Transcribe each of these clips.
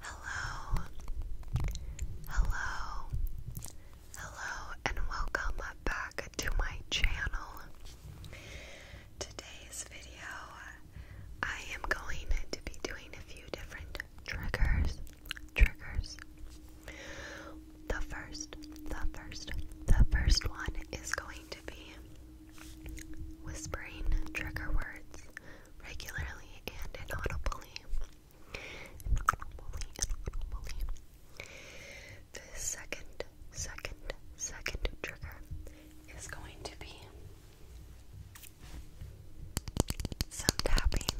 Hello, hello, hello, and welcome back to my channel. Today's video, I am going to be doing a few different triggers. Triggers the first, the first, the first one is going to be whispering trigger words regularly and inaudibly. Inaudibly, inaudibly. The second, second, second trigger is going to be some tapping,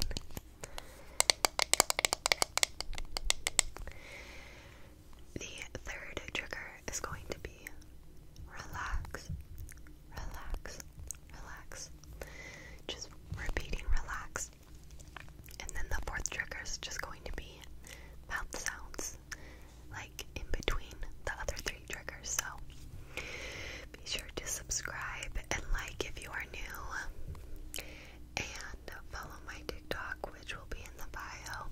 the third trigger is going to be relax, relax, relax. Just repeating relax. And then the fourth trigger is just going to be mouth sounds, like in between the other three triggers. So be sure to subscribe and like if you are new and follow my TikTok, which will be in the bio.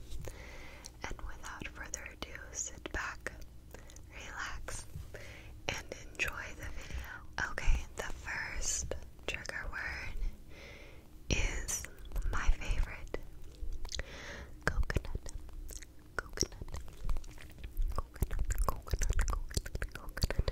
And without further ado, sit back, relax, and enjoy the video. Okay, the first trigger word is my favorite coconut. Coconut. Coconut, coconut, coconut, coconut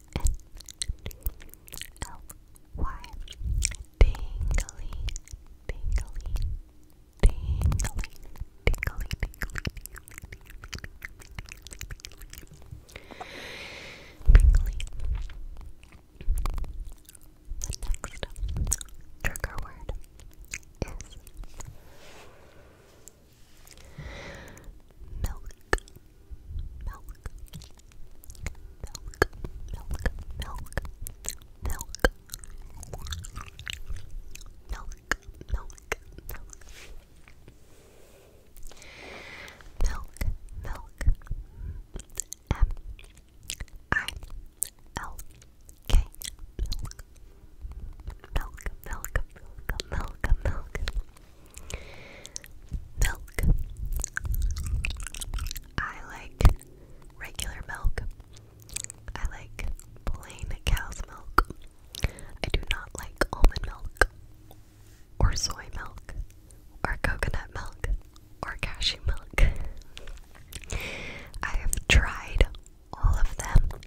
L Y Tingly Tingly Tingly Tingly Tingly Tingly The next trigger word is Milk, milk, milk, milk, milk, milk, milk, milk, milk. Milk, milk, M I L K, milk, milk, milk, milk, milk, milk, Milk. I like regular milk. I like plain cow's milk. I do not like almond milk, or soy milk, or coconut milk, or cashew milk. I have tried all of them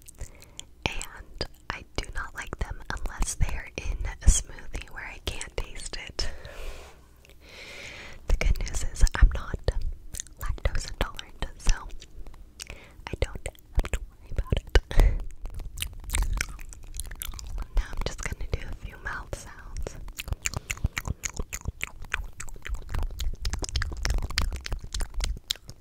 and I do not like them unless they are in a smoothie where I can't taste it. The good news is I'm not lactose intolerant, so I don't have to worry about it. now I'm just gonna do a few mouth sounds.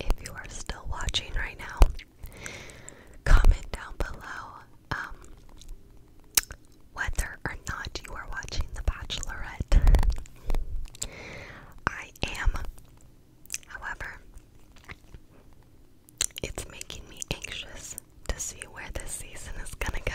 If you are still watching right now, Comment down below um, whether or not you are watching The Bachelorette. I am, however, it's making me anxious to see where this season is gonna go.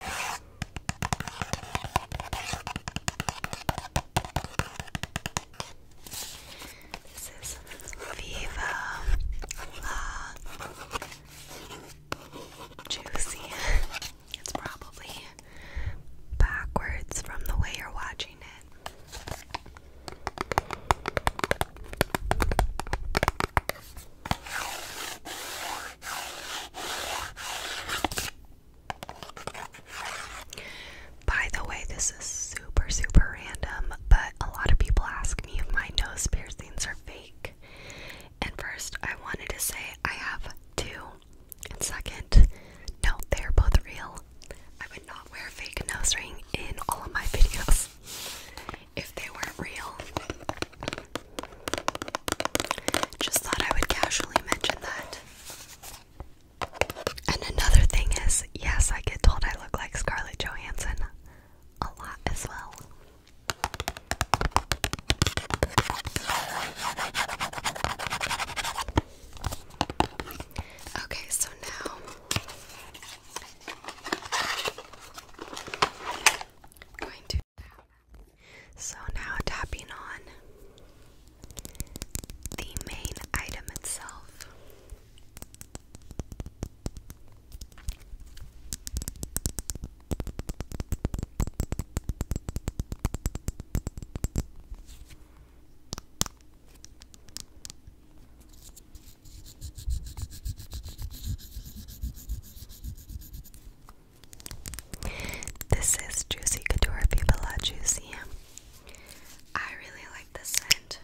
This is Viva La Juicy. It's probably backwards from the way you're watching it. By the way, this is super, super random, but a lot of people ask me if my nose piercings are fake. And first, I wanted to say I have two. And second, no, they're both real. I would not wear a fake nose ring in all of my videos if they weren't real. Just thought I would casually mention that. And another thing is, yes, I get told I look like Scarlett Johansson a lot as well. Okay, so now I'm going to so now tapping on the main item itself. This is Juicy Couture Viva La Juicy. I really like this scent.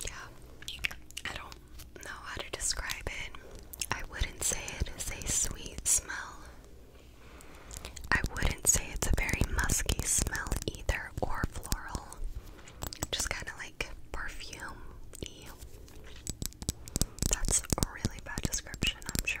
Yeah, I don't know how to describe it. I wouldn't say it is a sweet smell. I wouldn't say it's a very musky smell either or floral just kind of like perfume That's a really bad description, I'm sure.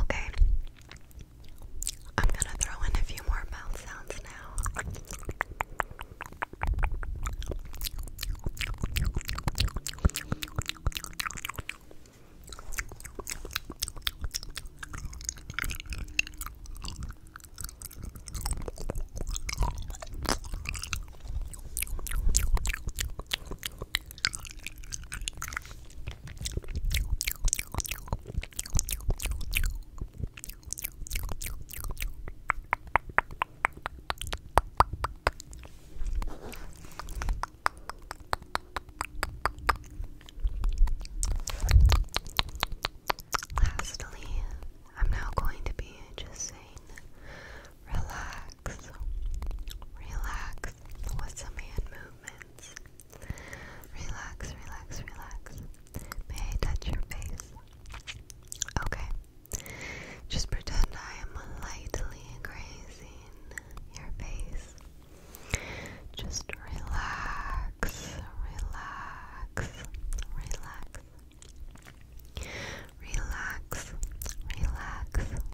Okay. I'm gonna throw in a few more mouth sounds now. Lastly, I'm now going to be just saying relax, relax, relax with some hand movements. Relax, relax, relax. May I touch your face? Okay. Just pretend I am lightly grazing your face. Just relax, relax, relax. Relax, relax,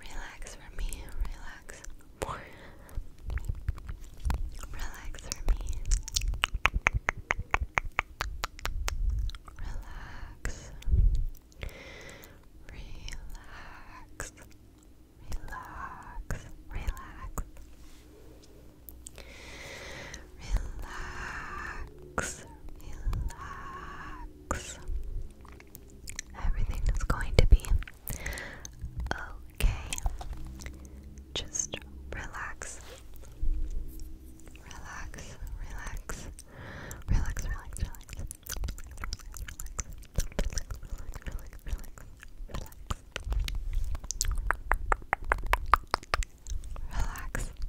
Relax for me, relax. Relax for me. Relax. Relax. Relax. Relax. Relax. Relax. Everything is going to be okay. Just relax. Relax, relax, relax, relax, relax, relax, relax, relax, relax, relax,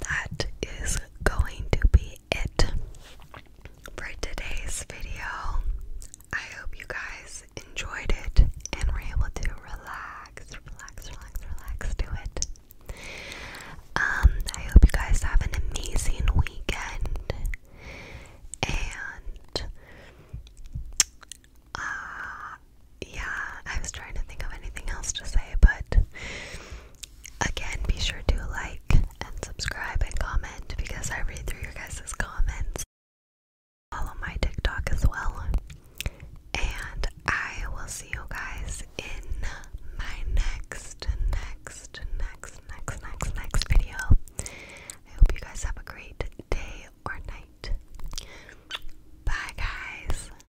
that is going to be it for today's video. I hope you guys enjoyed it and were able to relax, relax, relax, relax to it. Um, I hope you guys have an amazing weekend and uh yeah, I was trying to think of anything else to say, but Again, be sure to like and subscribe and comment because I read through your guys's comments. Follow my TikTok as well. And I will see you guys in my next, next, next, next, next, next video. I hope you guys have a great day or night. Bye, guys.